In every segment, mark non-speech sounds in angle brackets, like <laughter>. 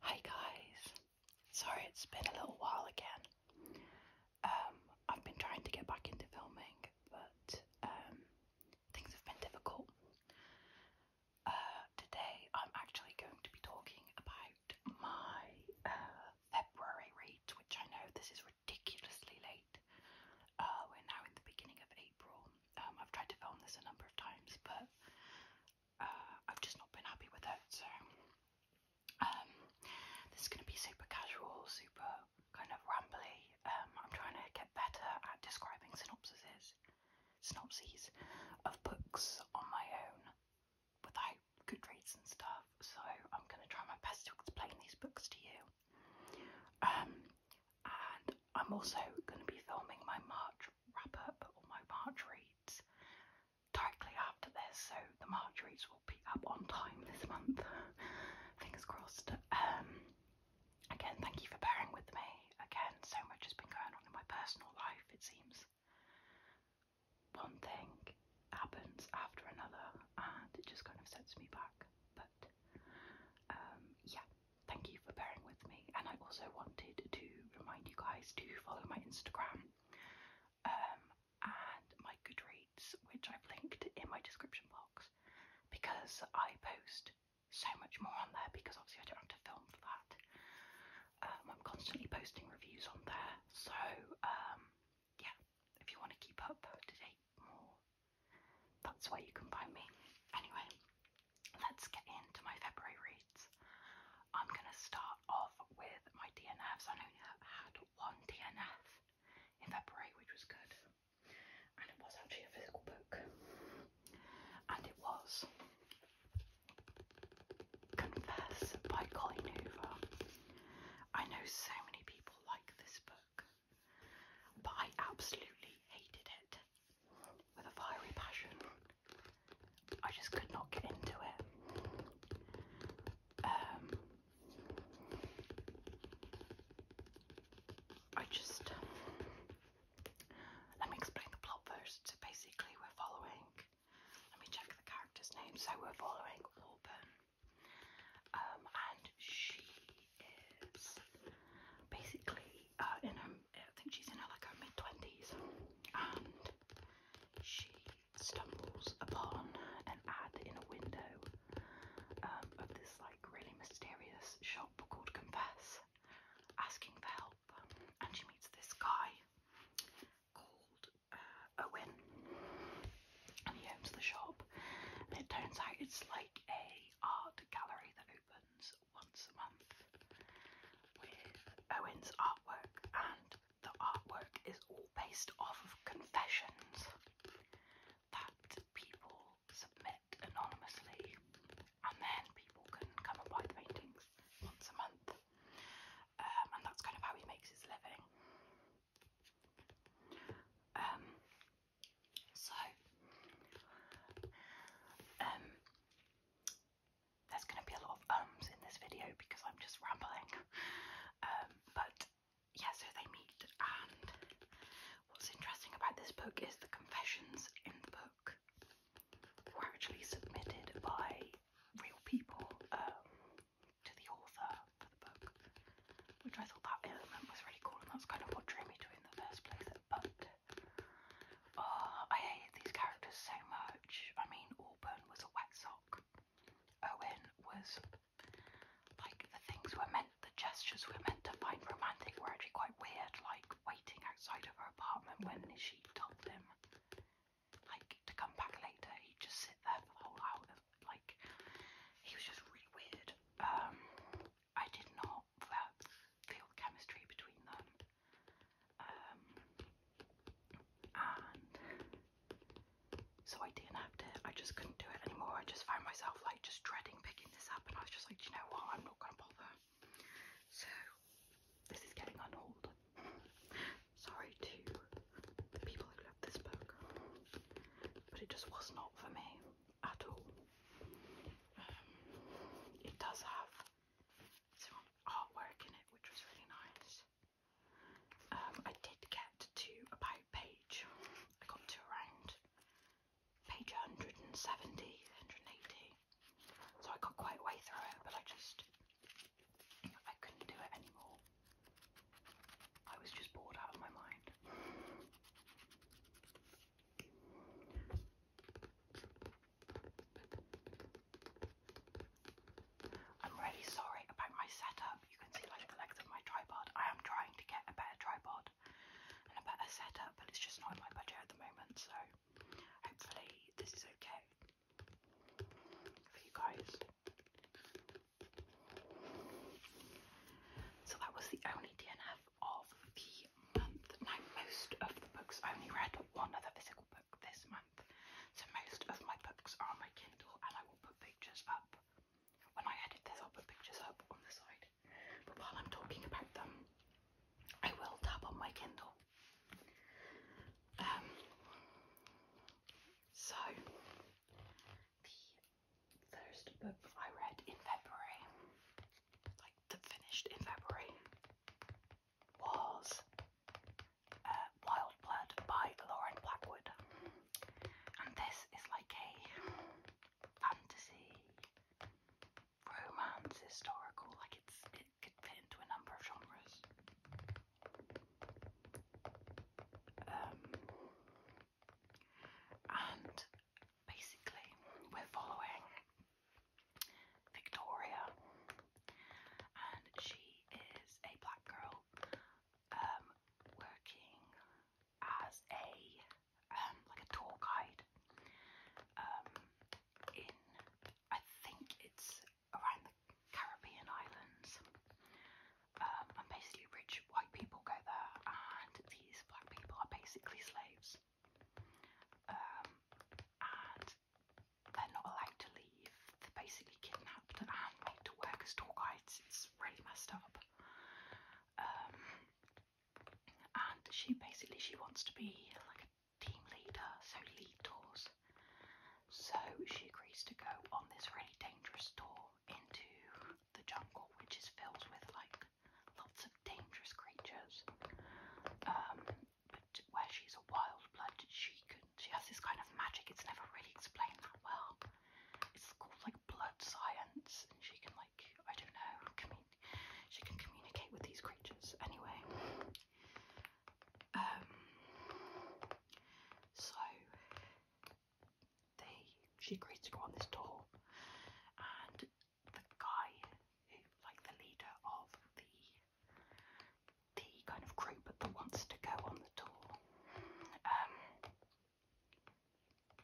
Hi guys. Sorry it's been a little while again. Um, I've been trying to get back into filming but um, things have been difficult. Uh, today I'm actually going to be talking about my uh, February reads, which I know this is ridiculously late. Uh, we're now in the beginning of April. Um, I've tried to film this a number of times, but uh, I've just not been happy with it. So um, this is going to be super casual, super kind of rambly. Um, I'm trying to get better at describing synopses, synopses of books on my own without Goodreads and stuff. So I'm going to try my best to explain these books to you. Um, and I'm also going to be filming my March wrap up or my March reads directly after this, so the March reads will be up on time this month. <laughs> Fingers crossed. Um, again, thank you for bearing with me. Again, so much has been going on in my personal life, it seems. One thing happens after another, and it just kind of sets me back. Um, yeah, thank you for bearing with me. And I also wanted to remind you guys to follow my Instagram um, and my Goodreads, which I've linked in my description box because I post so much more on there because obviously I don't have to film for that. Um, I'm constantly posting reviews on there, so um, yeah, if you want to keep up to date that's where you can find me. Anyway, let's get into my February reads. I'm going to start off with my DNFs. I only had one DNF in February, which was good. And it was actually a physical book. And it was Confess by Colleen Hoover. I know so many people like this book. But I absolutely hated it with a fiery passion. I just could not get into it. Um, I just. let me explain the plot first. So basically, we're following. Let me check the character's name. So we're following Auburn, um, and she is basically uh, in I think she's in like her mid twenties, and she stumbles upon an ad in a window um, of this like really mysterious shop called Confess, asking for help, and she meets this guy called uh, Owen, and he owns the shop. And it turns out it's like a art gallery that opens once a month with Owen's artwork, and the artwork is all based off of confessions that people submit anonymously, and then people can come and buy the paintings once a month, um, and that's kind of how he makes his living. Um, so, um, there's going to be a lot of ums in this video because I'm just rambling. Um, but yeah, so they meet, and what's interesting about this book is the confessions in the book were actually submitted by real people um, to the author for the book, which I thought that element was really cool, and that's kind of what drew me in the first place. But oh, I hated these characters so much. I mean, Auburn was a wet sock. Owen was like the things were meant, the gestures were meant to find romantic were actually quite weird, like waiting outside of her apartment when she told him like to come back later. He'd just sit there for the whole hour. Like he was just really weird. Um, I did not feel chemistry between them. Um, and so I DNF'd it. I just couldn't do it anymore. I just found myself like just dreading picking this up, and I was just like, do you know what? I'm not gonna bother. So this is getting on hold. <laughs> Sorry to the people who love this book, but it just was not for me at all. Um, it does have some artwork in it, which was really nice. Um, I did get to about page, I got to around page 170, 180, so I got quite way through it, but I just, I couldn't do it anymore. I was just bored out of my mind. I'm really sorry about my setup. You can see like the legs of my tripod. I am trying to get a better tripod and a better setup, but it's just not in my budget at the moment. So hopefully this is okay for you guys. So that was the only DNF of the month. Now, most of the books, I only read one other physical book this month. So most of my books are on my Kindle and I will put pictures up. When I edit this, I'll put pictures up on the side. But while I'm talking about them, I will tap on my Kindle. Um, so, the first book I read in February, like that finished in February, was uh, Wild Blood by Lauren Blackwood. And this is like a fantasy, romance, historical, like it's it could fit into a number of genres. Um, and basically we're following Victoria, and she is a black girl um, working as a um, like a tour guide um, in I think it's around the Caribbean islands. and basically, rich rich white people go there, and these black people are basically slaves. Um, and they're not allowed to leave. They're basically kidnapped and made to work as tour guides. It's really messed up. Um, and she basically she wants to be like a team leader, so lead tours. So she agrees to go on this really dangerous tour into the jungle, which is filled with like lots of dangerous creatures. Um, but where she's a wild blood, she can she has this kind of magic. It's never really explained that well. It's called like blood science, and she can like I don't know, she can communicate with these creatures. Anyway, um, so they she agrees to go on this tour, and the guy, who, like the leader of the the kind of group that wants to go on the tour, um,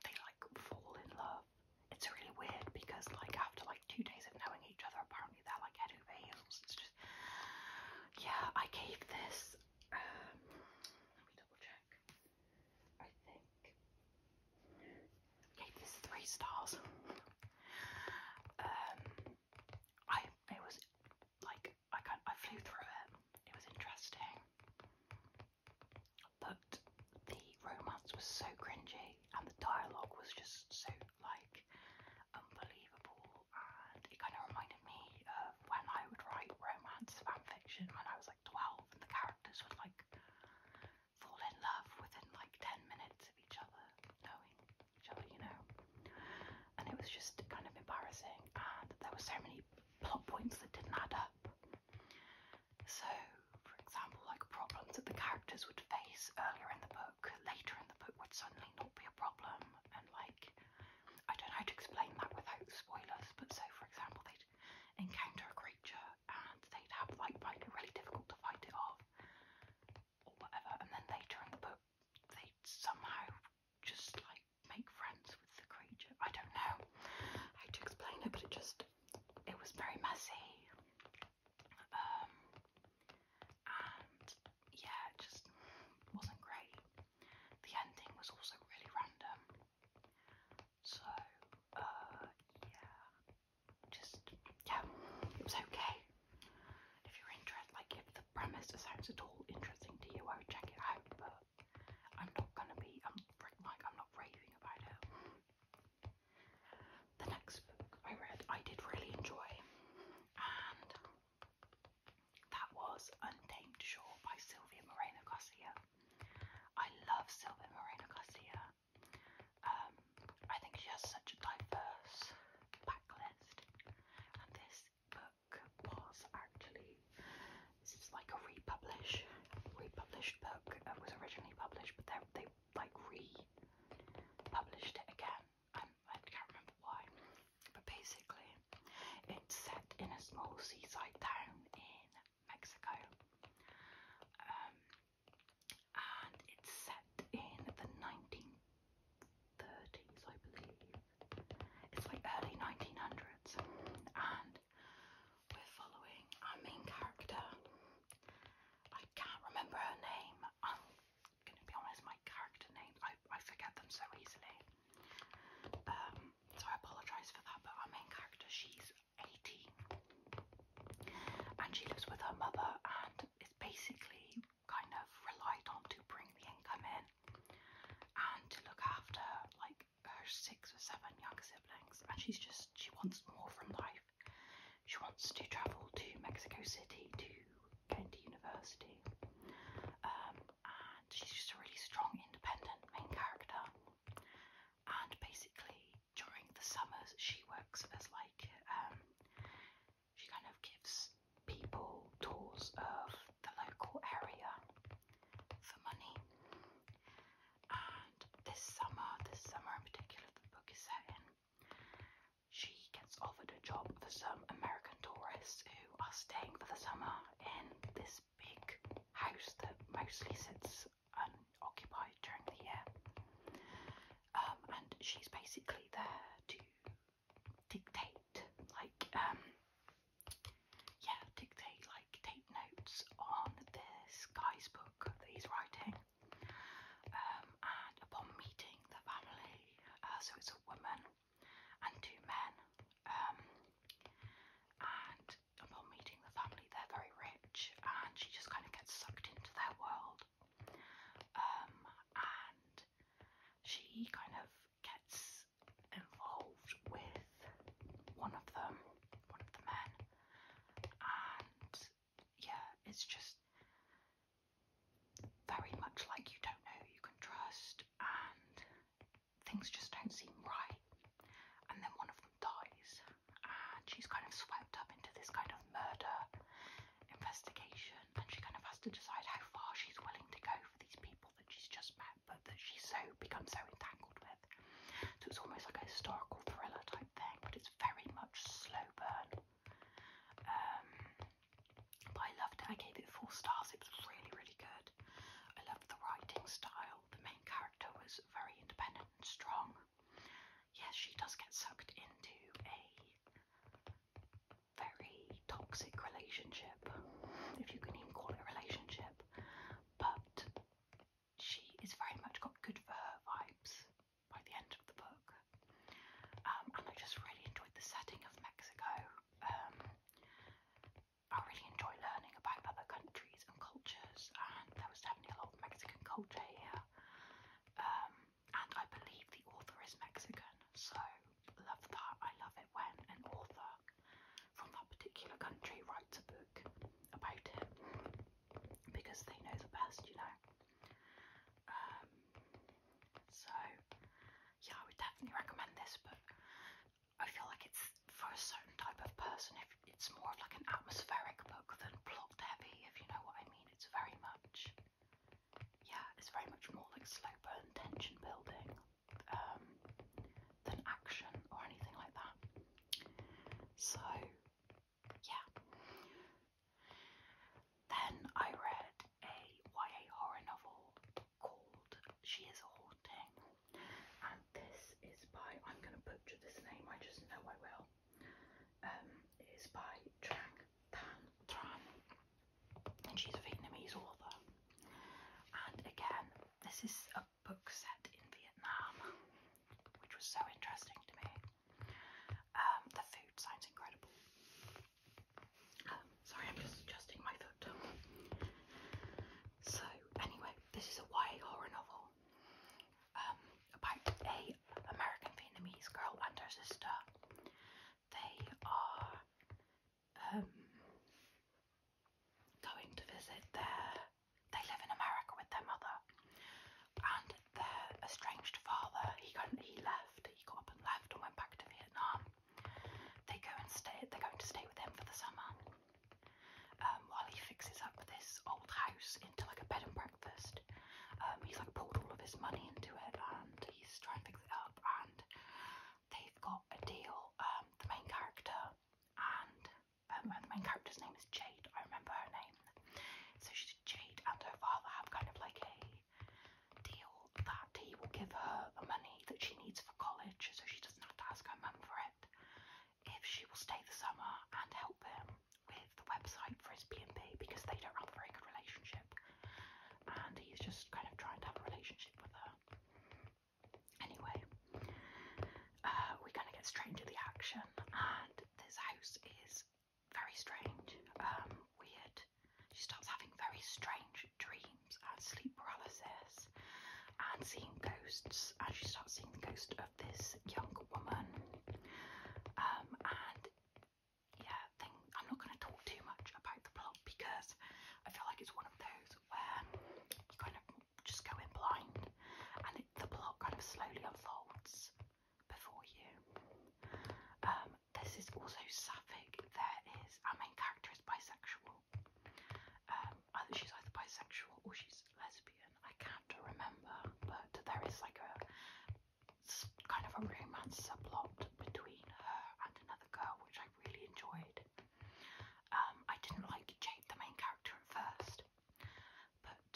they like fall in love. It's really weird because like after like two days of knowing each other, apparently they're like head over heels. yeah, I gave this. Um, let me double check. I think. Gave this three stars. um, I it was like I can I flew through it. It was interesting, but the romance was so cringy and the dialogue was just so like unbelievable, and it kind of reminded me of when I would write romance fan fiction when I was like like 12 and the characters would like fall in love within like 10 minutes of each other knowing each other, you know. And it was just kind of embarrassing and there were so many plot points that didn't add up. So, for example, like problems that the characters would face earlier in the book, later in the book would suddenly not be a problem and like I don't know how to explain that without spoilers, but so for example they'd encounter a creature and they'd have like find it really difficult to fight it off or whatever and then later in the book they'd somehow just like make friends with the creature. I don't know how to explain it but it just it was very messy. Um and yeah, it just wasn't great. The ending was also really random. So, uh, yeah, just, yeah, it was okay. If you're interested, like, if the premise sounds at all interesting to you, I would check it out, but I'm not gonna be, I'm, like, I'm not raving about it. The next book I read, I did really enjoy, and that was Untamed Shore by Sylvia Moreno Garcia. I love Sylvia Moreno Garcia. Um, I think she has such a diverse backlist, and this book was actually this is like a republish, republished book. It was originally published, but then they like republished it again. Um, I can't remember why, but basically, it's set in a small seaside town in Mexico. Um, and it's set in the 1930s, I believe. It's like early 1900s, and we're following our main character. I can't remember her name. I'm gonna be honest, my character names I, I forget them so easily. Um, so I apologise for that. But our main character, she's 18. And she lives with her mother and is basically kind of relied on to bring the income in and to look after like her six or seven younger siblings. And she's just, she wants more from life. She wants to travel to Mexico City to go into university. Um, and she's just a really strong, independent main character. And basically, during the summers she works as like um she kind of gives people tours of the local area for money. And this summer, this summer in particular the book is set in, she gets offered a job for some American tourists who are staying for the summer in this big house that mostly sits unoccupied during the year. Um, and she's basically there to dictate, like, um, yeah, dictate, like, take notes on this guy's book that he's writing. Um, and upon meeting the family, uh, so it's a woman and two men, um, and upon meeting the family, they're very rich, and she just kind of gets sucked into their world. Um, and she kind of gets involved with one of them, one of the men, and yeah, it's just very much like you don't know who you can trust, and things just don't seem right. And then one of them dies, and she's kind of swept up into this kind of murder investigation and she kind of has to decide how far she's willing to go for these people that she's just met but that she's so become so entangled with. So it's almost like a historical thriller type thing, but it's very much slow burn. Um, but I loved it. I gave it four stars. It was really, really good. I loved the writing style. The main character was very independent strong. Yes, she does get sucked into a very toxic relationship, if you can even call it a relationship, but she is very much got good for her vibes by the end of the book. Um, and I just really enjoyed the setting of Mexico. Um, I really enjoy learning about other countries and cultures, and there was definitely a lot about Mexican culture here, um, and I believe the author is Mexican, so love that. I love it when an author from that particular country writes a book about it because they know the best, you know. Um, so yeah, I would definitely recommend this book. I feel like it's for a certain type of person. If it's more of like an atmospheric book than plot heavy, if you know what I mean. It's very much, yeah, it's very much more like slow burn tension building um, than action or anything like that. So, yeah. Then I read a YA horror novel called She Is a Haunting and this is by I'm going to butcher this name. I just know I will. Um, it is by Trang Tan Tran, and she's a Vietnamese author. And again, this is a book set in Vietnam, which was so interesting to me. Um, the food sounds incredible. Um, sorry, I'm just adjusting my foot. So, anyway, this is a YA horror novel. Um, about a American Vietnamese girl and her sister. They are um, going to visit their. They live in America with their mother and their estranged father. He got, he left. He got up and left and went back to Vietnam. They go and stay. They're going to stay with him for the summer. Um, while he fixes up this old house into like a bed and breakfast. Um, he's like pulled all of his money into it and he's trying to fix it up and they've got a deal, um, the main character and the main character's name is Jade, I remember her name. So she's Jade and her father have kind of like a deal that he will give her the money that she needs for college so she doesn't have to ask her mum for it if she will stay the summer and help him with the website for his B&B because they don't have a very good relationship and he's just kind of trying to have a relationship with her. Anyway, uh, we kind of get straight into the action and this house is very strange, um, weird. She starts having very strange dreams and sleep paralysis and seeing ghosts and she starts seeing the ghost of this young woman. Um, and yeah, I'm not going to talk too much about the plot because I feel like it's one of those where you kind of just go in blind and the plot kind of slowly unfolds before you. Um, this is also sapphic. There is, our main character is bisexual. Um, either she's either bisexual or she's lesbian. I can't remember, but there is like a kind of a romance subplot between her and another girl, which I really enjoyed. Um, I didn't like Jade, the main character, at first, but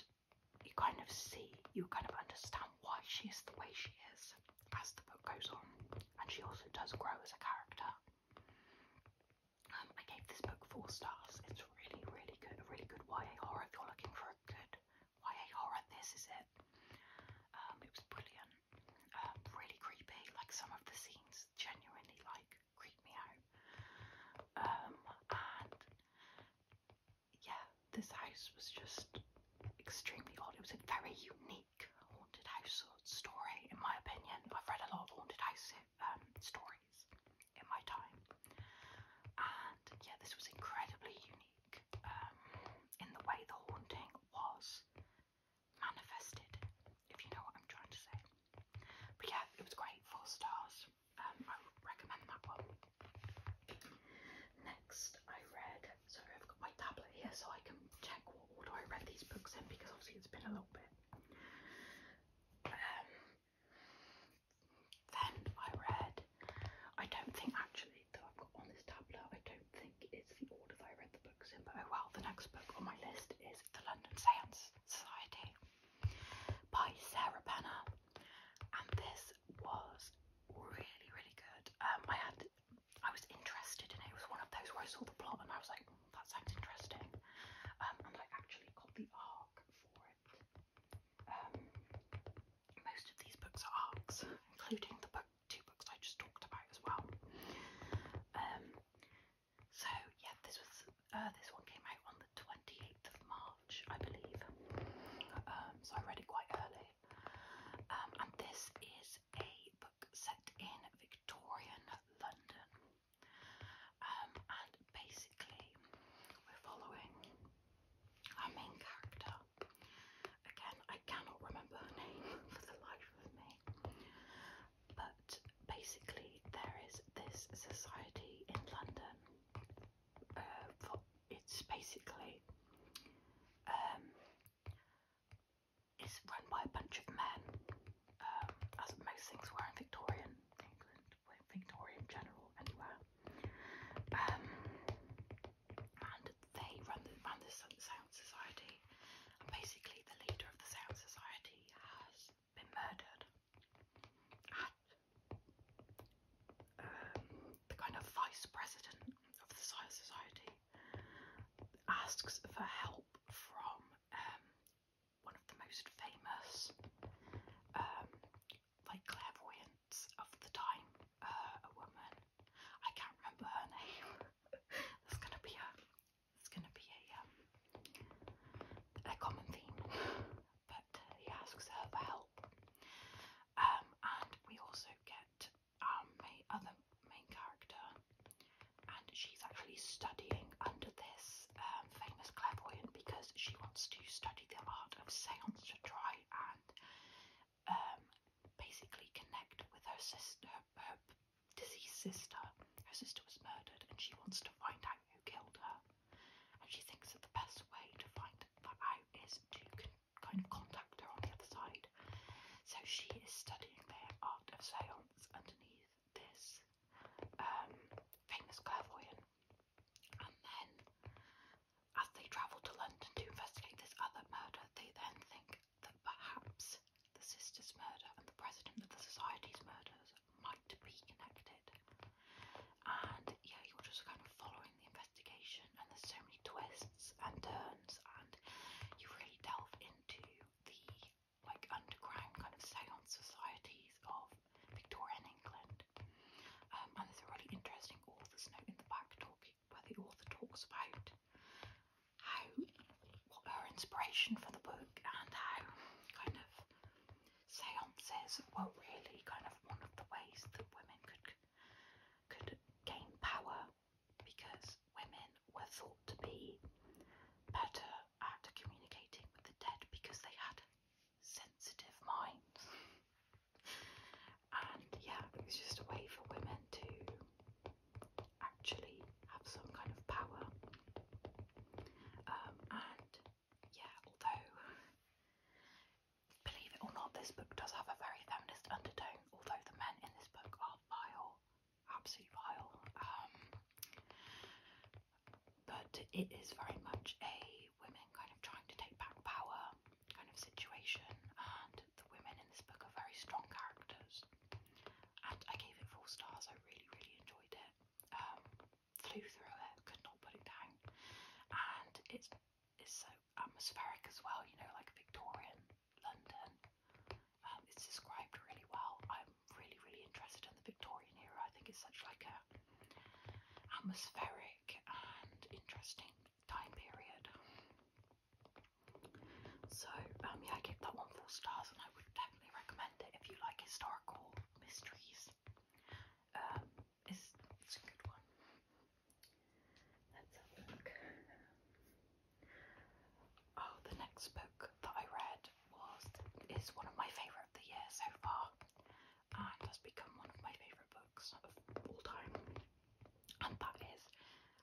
you kind of see, you kind of understand why she is the way she is as the book goes on, and she also does grow as a character. Um, I gave this book four stars. It's really, really good. A really good YA horror. If you're looking for a good YA horror, this is it. Um, it was brilliant. Um, really creepy. Like some of the scenes genuinely like creep me out. and yeah, this house was just extremely odd. It was a very unique haunted house story, in my opinion. I've read a lot of haunted house um, stories degrees in my time. And yeah, this was incredibly unique um, in the way the haunting was manifested, if you know what I'm trying to say. But yeah, it was great, four stars. Um, I would recommend that one. Next, I read, sorry, I've got my tablet here so I can check what order I read these books in because obviously it's been a little bit. Um, then I read, I don't think actually, though I've got on this tablet, I don't think it's the order that I read the books in, but oh well, the next book on my list is The London Science Society by Sarah Penner, and this was really, really good. Um, I had, I was interested in it, it was one of those where I saw the plot and I was like, hmm, that sounds interesting, um, and I actually got the arc for it. Um, most of these books are arcs, including the book, two books I just talked about as well. Um, so yeah, this was uh, this one came out on the twenty eighth of March, I believe. Um, so I read it quite early. Um, and this is a book set in Victorian London. Um, and basically, we're following our main character. Again, I cannot remember her name <laughs> for the life of me. But basically, there is this society in London. Uh, it's basically um, it's run by a bunch of men, um, as most things were in Victorian England. Victorian general anywhere. Um, and they run the, run the Sound Society, and basically the leader of the Sound Society has been murdered. And um, the kind of vice president of the Sound Society asks for help from um, one of the most famous um, like clairvoyants of the time, uh, a woman. I can't remember her name. <laughs> There's gonna be a, there's gonna be a, um, a common theme. But uh, he asks her for help, um, and we also get our main, other main character, and she's actually studying under this um, famous clairvoyant because she wants to study the art of seance to try and um, basically connect with her sister, her deceased sister. Her sister was murdered, and she wants to find out who killed her. And she thinks that the best way to find that out is to kind of contact her on the other side. So she is studying the art of seance underneath this um, famous clairvoyant. And then, as they travel to London to investigate this other murder, they then think that perhaps the sister's murder and the president of the society's murders might be connected. And yeah, you're just kind of following the investigation, and there's so many twists and turns, and you really delve into the like underground kind of seance societies of Victorian England um, and there's a really interesting author's note in the back talking where the author talks about how what her inspiration for the book and how kind of seances were really kind of one of the ways that women could could gain power because women were thought to be better at communicating with the dead because they had sensitive minds. and yeah, it's just a way for women to actually have some kind of power. Um, and yeah, although believe it or not, this book does have a very feminist undertone, although the men in this book are vile, absolutely vile. Um, but it is very much a women kind of trying to take back power kind of situation, and the women in this book are very strong characters. And I gave it four stars. I really, really enjoyed it. Um, flew through it, could not put it down, and it's it's so atmospheric as well. You know, like Victorian London. Um, it's described really well. I'm really, really interested in the Victorian era. I think it's such like a atmospheric and interesting time period. So um, yeah, I give that one four stars, and I would definitely recommend it if you like historical mysteries. Um, it's, it's a good one. Let's have a look. Oh, the next book that I read was is one of my favourite of the year so far and ah, has become one of my favourite books of all time, and that is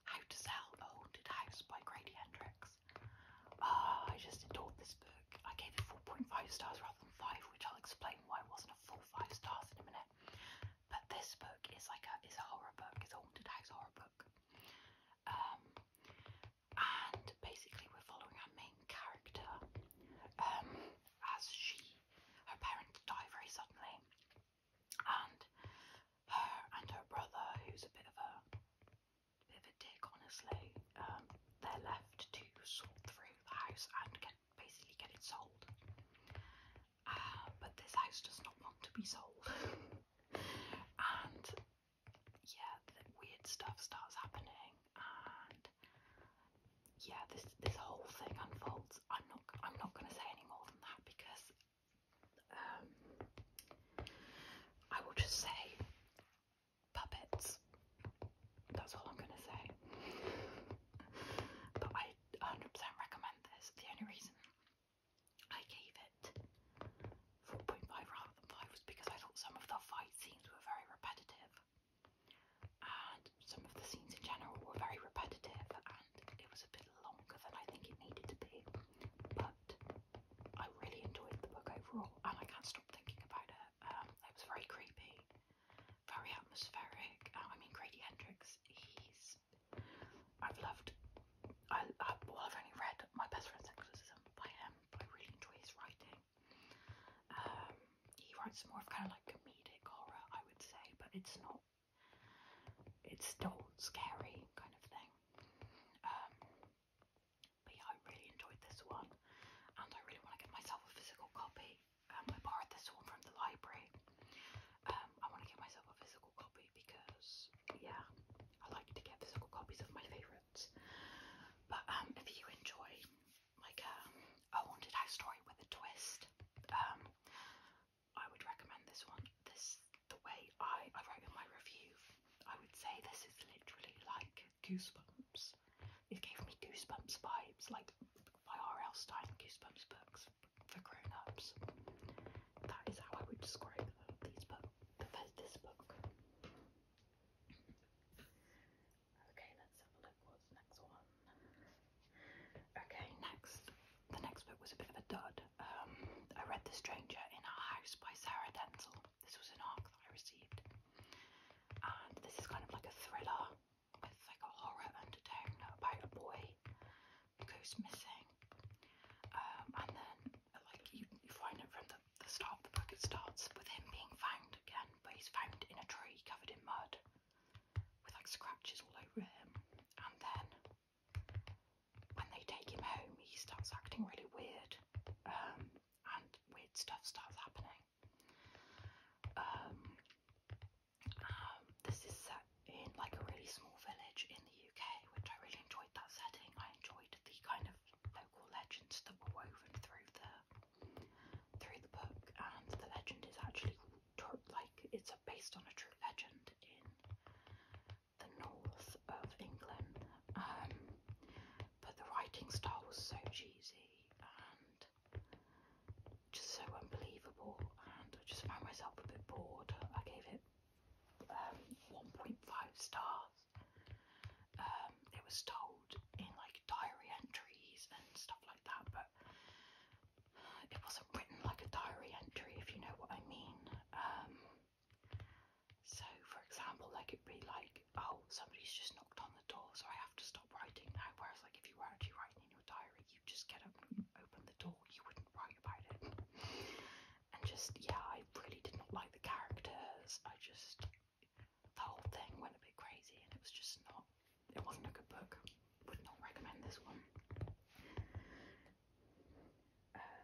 How to Sell a Haunted House by Grady Hendrix. Ah, I just adored this book. I gave it 4.5 stars rather than 5, which I'll explain why it wasn't a full 5 stars in a minute. But this book is like a, is a horror book, it's a haunted house horror book. Um, and basically we're following our main character. Um, as she, her parents die very suddenly, and her and her brother, who's a bit of a, a bit of a dick, honestly, um, they're left to sort through the house and get basically get it sold. Uh, but this house does not want to be sold, <laughs> and yeah, weird stuff starts happening, and yeah, this this whole thing unfolds. I'm not I'm not going to say any more than that because um, I will just say puppets. That's all I'm going to say. but I 100% recommend this. The only reason I gave it 4.5 rather than 5 was because I thought some of the fight scenes were very repetitive and some of the scenes in general were very repetitive and it was a bit longer than I think it needed to be but I really enjoyed the book overall and I can't stop thinking about it. Um, it was very creepy, very atmospheric. Uh, I mean Grady Hendrix, he's... I've loved... I, I, well I've only read My Best Friend's Exorcism by him but I really enjoy his writing um, he writes more of kind of like comedic horror, I would say, but it's not, it's still scary kind of thing. Um, but yeah, I really enjoyed this one, and I really want to get myself a physical copy. Um, I borrowed this one from the library. Um, I want to get myself a physical copy because, yeah, I like to get physical copies of my favourites. But um, if you enjoy like um, wanted a story with a twist. Um, I would recommend this one. This the way I I wrote in my review. I would say this is literally like goosebumps. It gave me goosebumps vibes, like by R.L. Stein goosebumps books for grown-ups. That is how I would describe these book, the, this book. Okay, let's have a look. What's next one? Okay, next. The next book was a bit of a dud. Um, I read The Stranger in Our House by Sarah Denzel. This was an arc that I received. And this is kind of like a thriller with like a horror undertone about a boy who goes missing. Um, and then like you, you find it from the, the start of the book, it starts with him being found again but he's found in a tree covered in mud with like scratches all over him. And then when they take him home, he starts acting really weird, um, and weird stuff starts happening. Um, um, this is set in like a really small village in the UK, which I really enjoyed that setting. I enjoyed the kind of local legends that were woven through the through the book, and the legend is actually like it's based on a true legend in the north of England. Um, but the writing style was so cheesy and just so unbelievable, and I just found myself a bit bored. I gave it um, 1.5 stars. Um, it was told in like diary entries and stuff like that, but it wasn't written like a diary entry, if you know what I mean. Um, so, for example, like it be like, oh, somebody's just knocked on the door, so I have to stop writing now. Whereas, like, if you were actually writing in your diary, you just get up and open the door, you wouldn't write about it. And just, yeah, I really did not like the characters. I just the whole thing went a bit crazy and it was just not, it wasn't a good book. Would not recommend this one. Uh,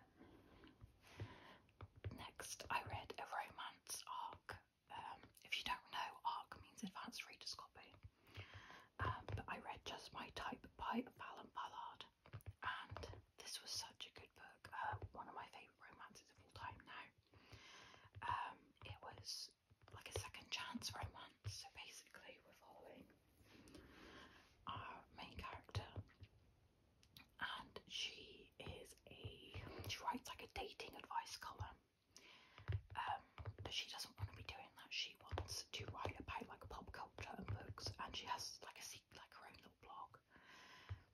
next, I read a romance arc. Um, if you don't know, ARC means Advanced Reader's Copy. Um, but I read Just My Type by Fallon Ballard, and this was such a good book. Uh, one of my favourite romances of all time now. Um, it was like a second chance romance. So basically, we're following our main character, and she is a she writes like a dating advice column. Um, but she doesn't want to be doing that. She wants to write about like pop culture and books, and she has like a like her own little blog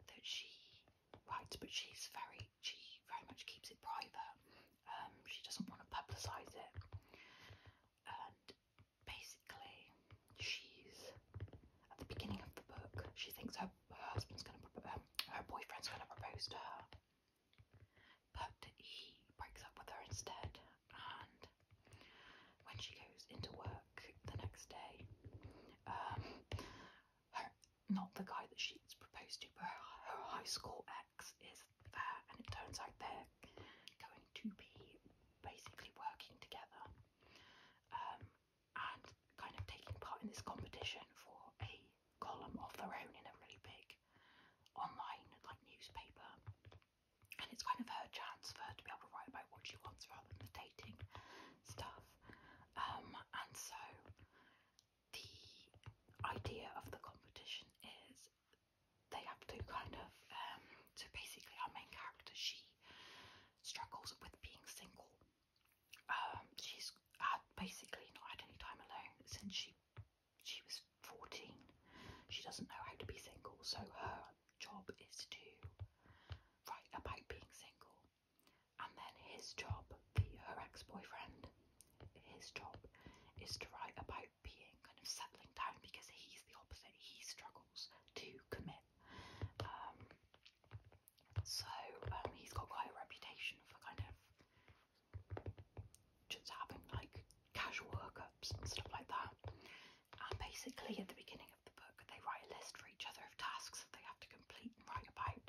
that she writes. But she's very she very much keeps it private. Um, she doesn't want to publicise it, and basically, she's at the beginning of the book. She thinks her, her husband's going to, um, her boyfriend's going to propose to her, but he breaks up with her instead. And when she goes into work the next day, um, her, not the guy that she's proposed to, but her, her high school ex is there, and it turns out they're going to be basically working together um, and kind of taking part in this competition for a column of their own in a really big online like newspaper. And it's kind of her chance for her to be able to write about what she wants rather than the dating stuff. Um, and so the idea of the competition is they have to kind of um, so basically our main character she struggles with being single. Um, she's had basically not had any time alone since she she was fourteen. She doesn't know how to be single, so her job is to write about being single. And then his job her ex-boyfriend, his job is to write about being kind of settling down because he's the opposite. He struggles to commit. Um, so um, he's got quite a reputation for kind of just having like casual hookups and stuff like that. And basically, at the beginning of the book, they write a list for each other of tasks that they have to complete and write about.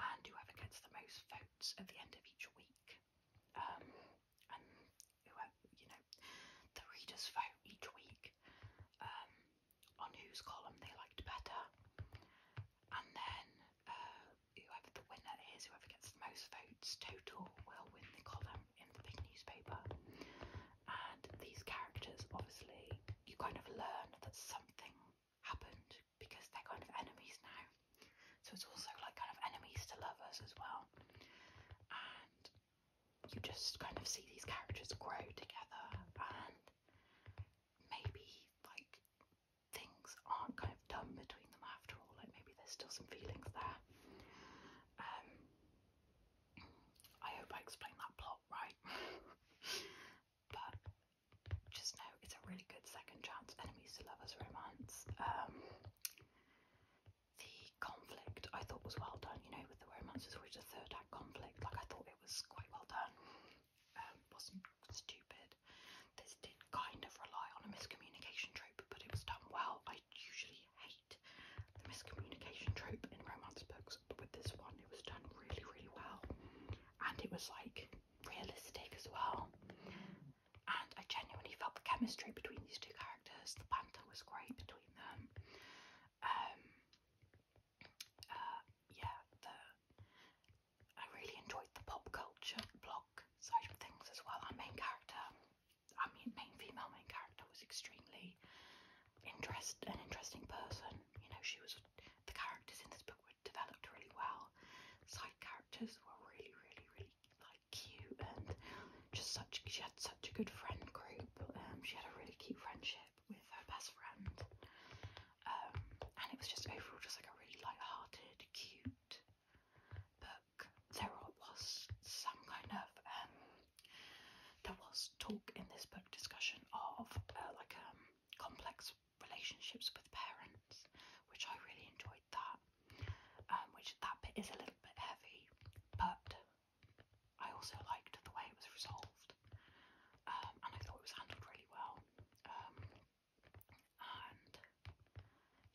And whoever gets the most votes at the end of each week. Um, and you know, the readers vote each week um, on whose column they liked better, and then uh, whoever the winner is, whoever gets the most votes total, will win the column in the big newspaper. And these characters, obviously, you kind of learn that something happened because they're kind of enemies now. So it's also like kind of enemies to lovers as well. And you just kind of see these characters grow together and maybe like things aren't kind of done between them after all, like maybe there's still some feelings there. Um I hope I explained that plot right. <laughs> but just know it's a really good second chance enemies to lovers romance. Um, the conflict I thought was well done, you know, with the romance is always a third act conflict. Like I thought it was quite well done. Um, wasn't stupid. This did kind of rely on a miscommunication trope, but it was done well. I usually hate the miscommunication trope in romance books, but with this one, it was done really, really well. And it was like realistic as well. And I genuinely felt the chemistry between these two characters, the banter was great between them. Um, uh, yeah, the, I really enjoyed the pop culture block side of things as well. Our main character, I mean, main female main character, was extremely interest an interesting person. You know, she was the characters in this book developed really well. Side characters were really, really, really like cute and just such. She had such a good friend group. Um, she had a really cute friendship with her best friend, um, and it was just overall just like a really light-hearted, cute book. There was some kind of um, there was talk in this book discussion of uh, like um complex relationships with parents, which I really enjoyed that. Um, which that bit is a little bit heavy, but I also liked the way it was resolved, um, and I thought it was handled really well. Um, and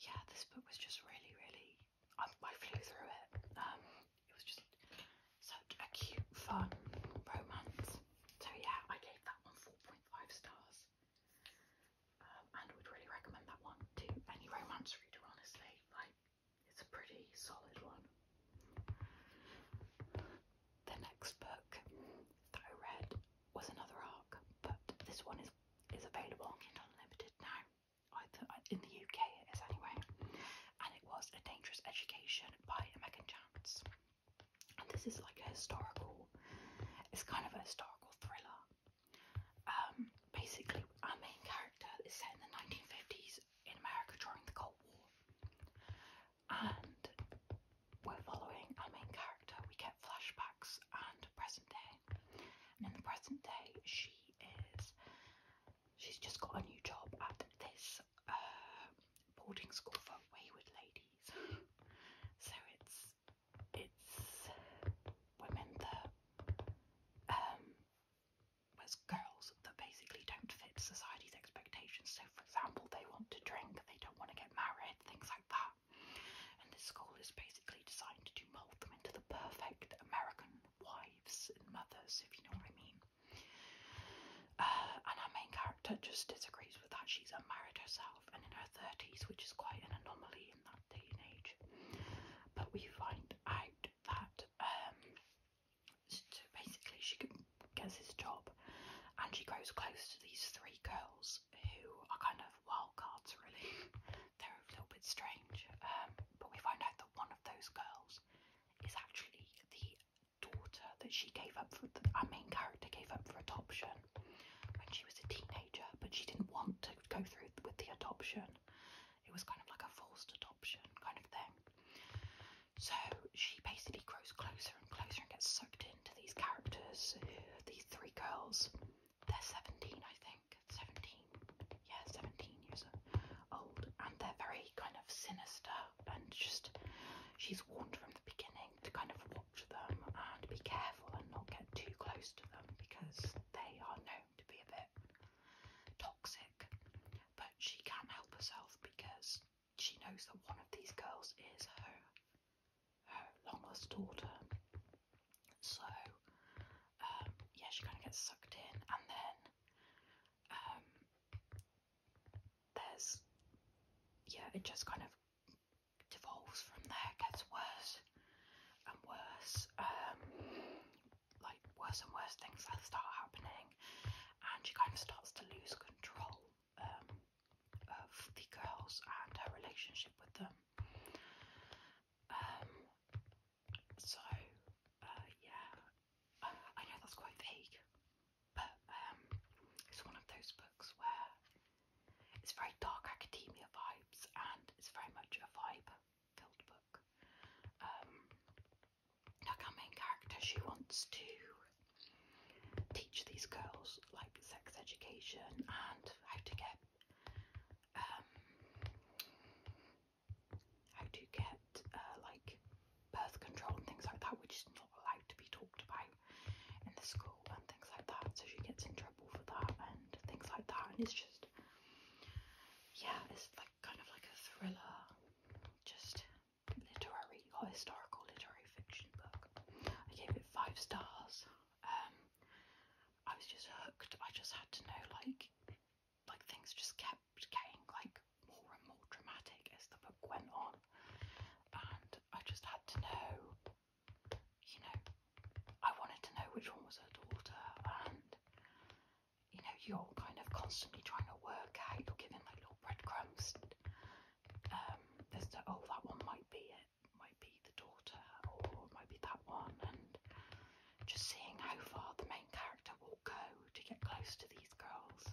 yeah, this book was just really, really. I, I flew through it. Um, it was just such a cute, fun romance. So yeah, I gave that one 4.5 stars. Um, and would really recommend that one to any romance reader, honestly. Like, it's a pretty solid one. The next book that I read was another arc, but this one is is available on Kindle Unlimited now, either uh, in the UK it is anyway, and it was A Dangerous Education by Megan Chance and this is like a historical it's kind of a historical thriller um basically our main character is set in the 1950s in america during the cold war and we're following our main character we get flashbacks and present day and in the present day she is she's just got a new job at this uh, boarding school for wayward ladies <laughs> so it's it's women that um as girls that basically don't fit society's expectations. So for example they want to drink, they don't want to get married, things like that. And this school is basically designed to mould them into the perfect American wives and mothers, if you know what I mean. Uh, and our main character just disagrees that. She's unmarried herself and in her 30s, which is quite an anomaly in that day and age. But we find out that um, basically she gets this job and she grows close to these three girls who are kind of wild cards, really. <laughs> They're a little bit strange. Um, but we find out that one of those girls is actually the daughter that she gave up for, the, main character gave up for adoption when she was a teenager, but she didn't want to go through with the adoption. It was kind of like a forced adoption kind of thing. So she basically grows closer and closer and gets soaked into these characters, uh, these three girls. They're 17, I think. 17. Yeah, 17 years old. And they're very kind of sinister and just, she's warned from the beginning to kind of watch them and be careful and not get too close to them because they are known to be a bit toxic. But she can't help herself because she knows that one of these girls is her her long lost daughter. So um, yeah, she kind of gets sucked in, and then um, there's yeah, it just kind of devolves from there, gets worse and worse, um, like worse and worse things start happening, and she kind of starts to lose control um, of the girls and her relationship with them. Um, so, uh, yeah, I, know that's quite vague, but it's one of those books where it's very dark academia vibes and it's very much a vibe filled book. Um, main character, she wants to teach these girls like sex education and how to get um, how to get uh, like birth control and things like that, which is not allowed to be talked about in the school and things like that. So she gets in trouble for that and things like that. And it's just, yeah, it's like kind of like a thriller, just literary or historical literary fiction book. I gave it five stars. Um, I was just hooked. I just had to know like like things just kept getting like more and more dramatic as the book went on and I just had to know you know, I wanted to know which one was her daughter, and you know, you're kind of constantly trying to work out, you're giving like little breadcrumbs. Um, there's the oh, that one might be it, might be the daughter, or it might be that one, and just seeing how far the main character will go to get close to these girls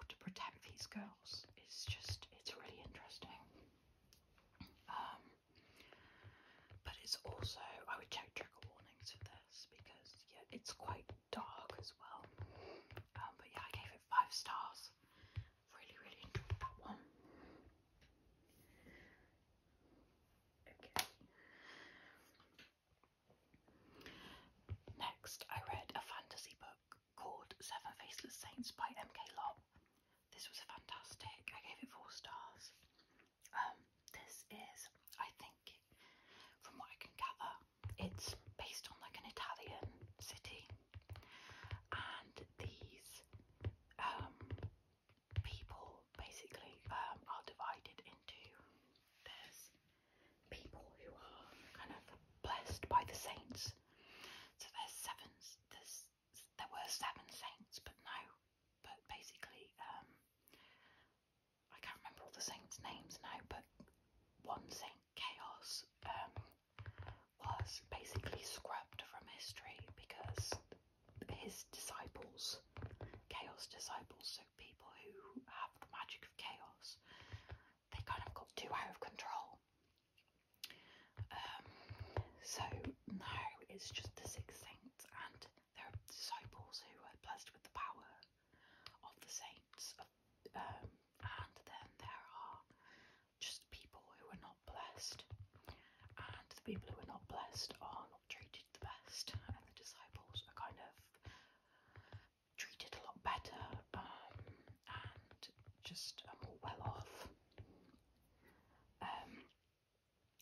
or to protect these girls is just it's really interesting. Um, but it's also, I would check trigger warnings for this because yeah, it's quite dark as well. Um, but yeah, I gave it five stars. Really, really enjoyed that one. Next, I read a fantasy book called Seven Faceless Saints by M.K. Lop. This was fantastic. I gave it four stars. Um, this is, I think, from what I can gather, it's based on like an Italian city, and these um, people basically um, are divided into there's people who are kind of blessed by the saints. So there's seven, there's there were seven saints, but no, but basically, um, I can't remember all the saints' names now, but one saint, Chaos, um, was basically scrubbed from history because his disciples, Chaos disciples, so people who have the magic of chaos, they kind of got too out of control um, so now it's just the six saints and their disciples who are blessed with the power of the saints, um, and then there are just people who are not blessed, and the people who are not blessed are not treated the best, and the disciples are kind of treated a lot better um, and just are more well off. Um,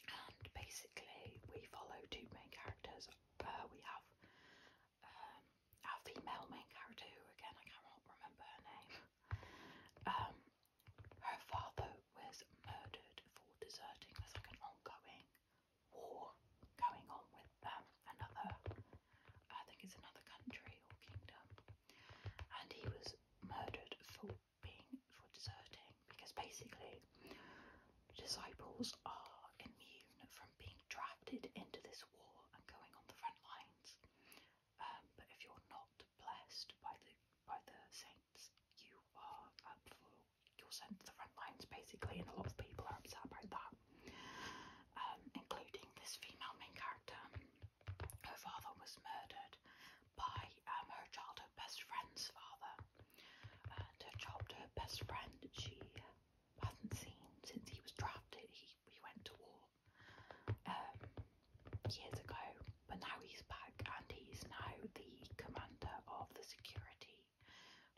and basically, we follow two main characters. we have um, our female main character, who again I cannot remember her name. Um, her father was murdered for deserting. There's like an ongoing war going on with um, another, I think it's another country or kingdom, and he was murdered for being for deserting because basically disciples are immune from being drafted into this war and going on the front lines. Um, but if you're not blessed by the by the saints, you are up for you're sent to the front lines basically, and a lot of people are upset about that. Um, including this female main character. Her father was murdered by um, her childhood best friend's father. And her childhood best friend she hasn't seen since he was drafted. He, he went to war um, years ago, but now he's back and he's now the commander of the security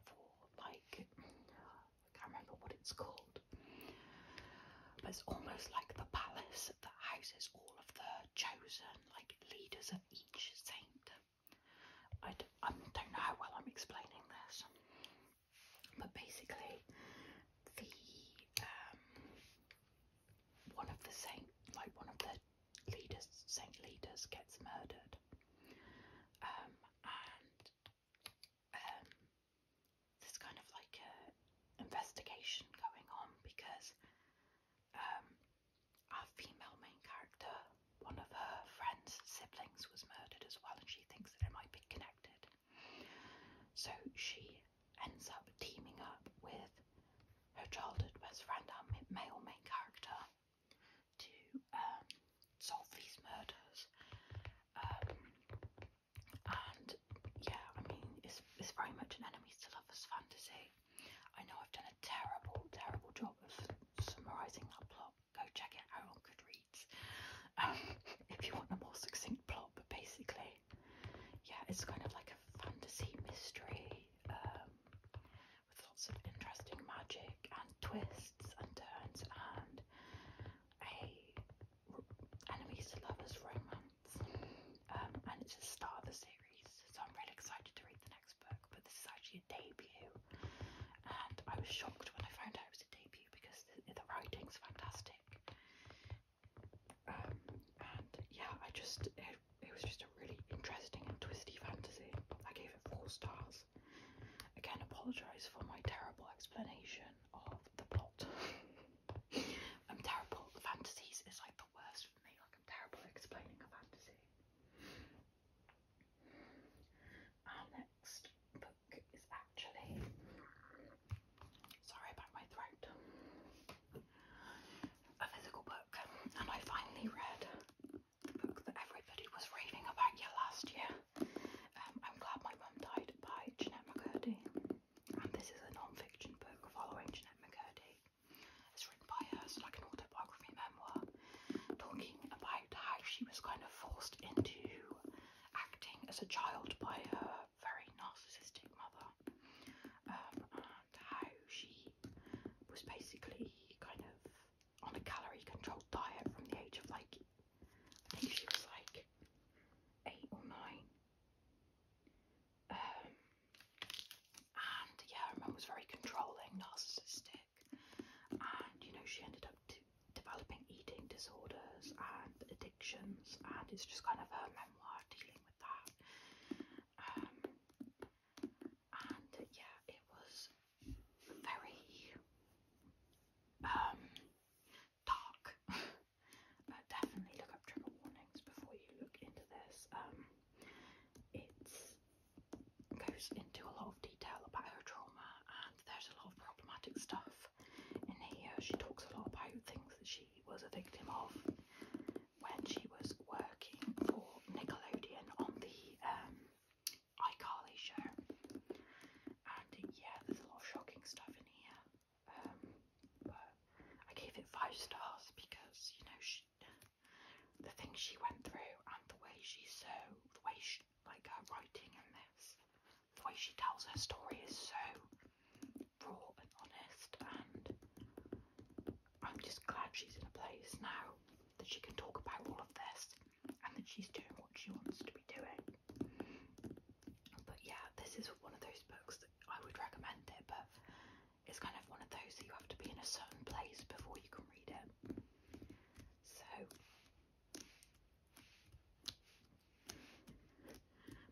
for like I can't remember what it's called but it's almost like the palace that houses all of the chosen, like leaders of each saint. I d I don't know how well I'm explaining this, but basically, the um, one of the saint, like one of the leaders, saint leaders, gets murdered, um, and um, there's kind of like a investigation going on because um, our female main character, one of her friend's siblings, was murdered as well, and she thinks that it might be connected. So she ends up teaming up with her childhood best friend, our male main character, to um, solve these murders. Um, yeah, I mean, it's, it's very much an enemies to lovers fantasy. I know I've done a terrible, terrible job of summarising that plot. Go check it out on Goodreads um, <laughs> if you want a more succinct plot, but basically, yeah, it's kind of like a fantasy mystery um, with lots of interesting magic and twists and turns and a enemies to lovers romance. Um, and it's the start of the series. So I'm really excited to read the next book. But this is actually a debut, and I was shocked when I found out it was a debut because the, writing's fantastic. Um, and yeah, I just it, it was just a really interesting and twisty fantasy. I gave it four stars. Again, apologise for my terrible explanation of the plot. <laughs> I'm terrible. Fantasies is like worst for me. Like I'm terrible at explaining a fantasy. Our next book is actually sorry about my throat. A physical book, and I finally read the book that everybody was raving about yeah last year. Um, I'm glad my mum died by Jeanette McCurdy and this is a non-fiction book following Jeanette McCurdy. It's written by her, so like an autobiography memoir, talking about how she was kind of forced into acting as a child by her very narcissistic mother, um, how she was basically kind of on a calorie-controlled diet from the age of like, I think she was like eight or nine. Um, and yeah, her mum was very controlling, narcissistic, and you know, she ended up developing eating disorders and addictions, and it's just kind of her memoir dealing with that. Um, and uh, yeah, it was very um, dark. <laughs> definitely look up trigger warnings before you look into this. Um, it goes into a lot of detail about her trauma, and there's a lot of problematic stuff in here. She talks a lot about things that she was a victim of when she was working for Nickelodeon on the um, iCarly show. And yeah, there's a lot of shocking stuff in here. Um, I gave it five stars because you know she, the things she went through and the way she so, the way she like her writing and this, the way she tells her story is so raw and honest, and I'm just glad she's in a place now that she can talk about all of this and that she's doing what she wants to be doing. But yeah, this is one of those books that I would recommend it, but it's kind of one of those that you have to be in a certain place before you can read it. So,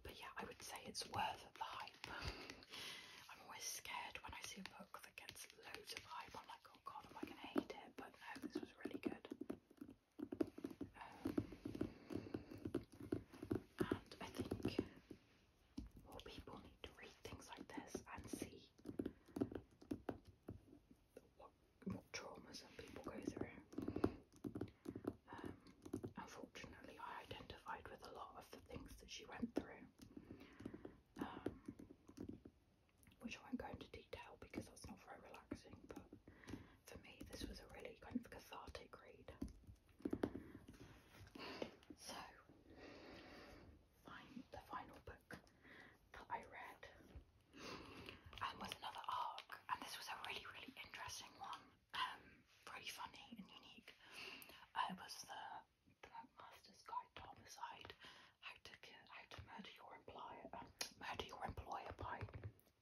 but yeah, I would say it's worth the hype. I'm always scared when I see a book that gets loads of hype. I'm like, oh god, am I going to hate it? But no, this was really good. Um, and I think well, people need to read things like this and see what, what trauma some people go through. Um, unfortunately, I identified with a lot of the things that she went through, um, which I won't go into detail because that's not very relaxing. But for me, this was a really kind of cathartic read. So, i the final book that I read um, was another arc, and this was a really, really interesting one, um, really funny and unique. Uh, it was the, the Master's Guide to Homicide: How to Kill, How to Murder Your Employer, um, Murder Your Employer by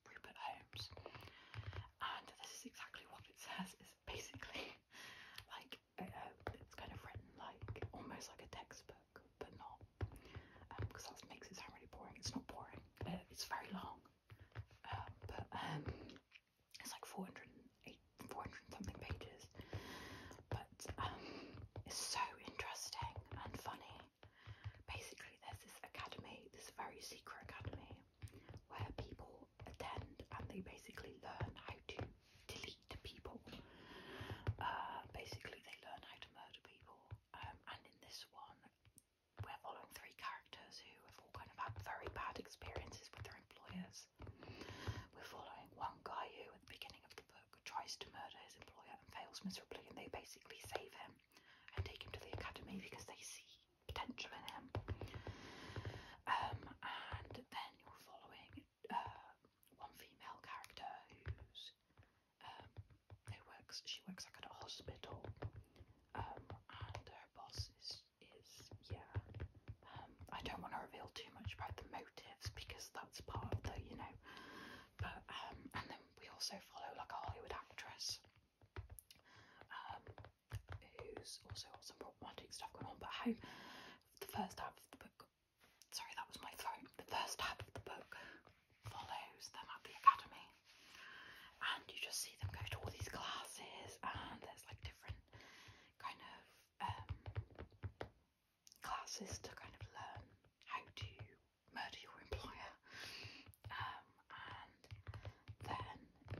Rupert Holmes, and this is exactly what it says basically. <laughs> Like uh, uh, it's kind of written like almost like a textbook, but not because um, that makes it sound really boring. It's not boring. Uh, it's very long, uh, but um, it's like 408, 400 something pages. But um, it's so interesting and funny. Basically, there's this academy, this very secret academy, where people attend and they basically learn how to delete people. Uh, basically, they learn how to murder people. Um, and in this one, we're following three characters who have all kind of had very bad experiences with their employers. We're following one guy who, at the beginning of the book, tries to murder his employer and fails miserably, and they basically save him and take him to the academy because they see potential in him. Um, and then you're following uh, one female character who's um, who works. She works like at a hospital, um, and her boss is is yeah. Um, I don't want to reveal too much about the motives because that's part of the you know. But um, and then we also follow like a Hollywood actress. Um, who's also got some problematic stuff going on but how The first half of the book, sorry, that was my phone. The first half of the book follows them at the academy, and you just see them go to all these classes, and there's like different kind of um, classes to kind of learn how to murder your employer, um, and then you,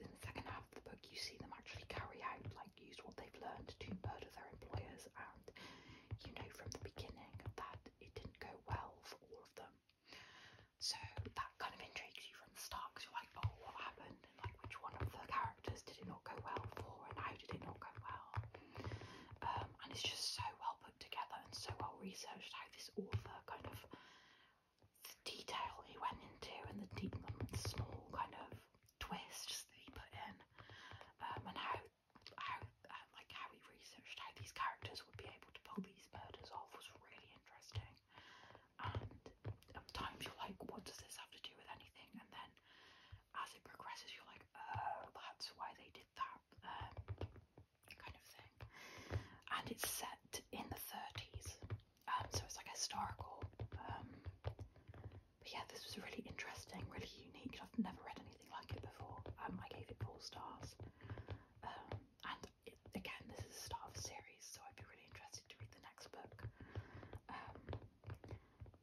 in the second half of the book, you see them actually carry out, like, use what they've learned to murder their employers, and you know from the beginning that it didn't go well for all of them. So that kind of intrigues you from the start because you're like, oh, what happened? And like, which one of the characters did it not go well for? And how did it not go well? Um, and it's just so well put together and so well researched how this author kind of detail he went into and the, deep, the small kind of twists that he put in, um, and how how uh, like how he researched how these characters would be able to pull these murders off was really interesting. And at times you're like, what does this have to do with anything? And then as it progresses, you're like, oh, that's why they did that, um, kind of thing. And it's set in the 30s, um, so it's like historical. Um, but yeah, this was really interesting, really unique. I've never read anything like it before. Um, I gave it four stars. Um, and again, this is a star of a series, so I'd be really interested to read the next book. Um,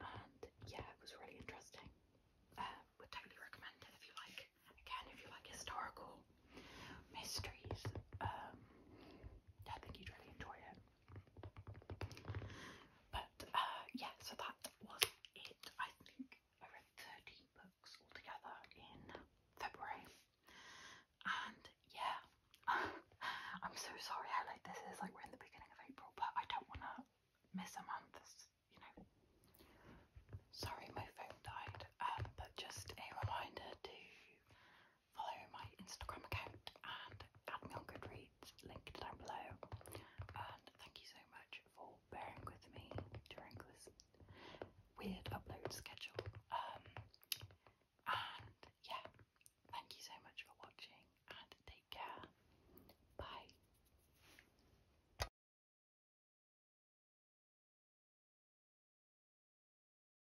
and yeah, it was really interesting. Uh, would totally recommend it if you like. Again, if you like historical mysteries, um, I think you'd really enjoy it. But uh, yeah, so that was it. I think I read 13 books altogether in February. And yeah, <laughs> I'm so sorry how late this is. Like, we're in the beginning of April, but I don't want to miss a month. you know, sorry, my phone died. Um, but just a reminder to follow my Instagram account and add me on Goodreads, linked down below. And thank you so much for bearing with me during this weird upload schedule. Um, and yeah, thank you so much for watching and take care. Bye.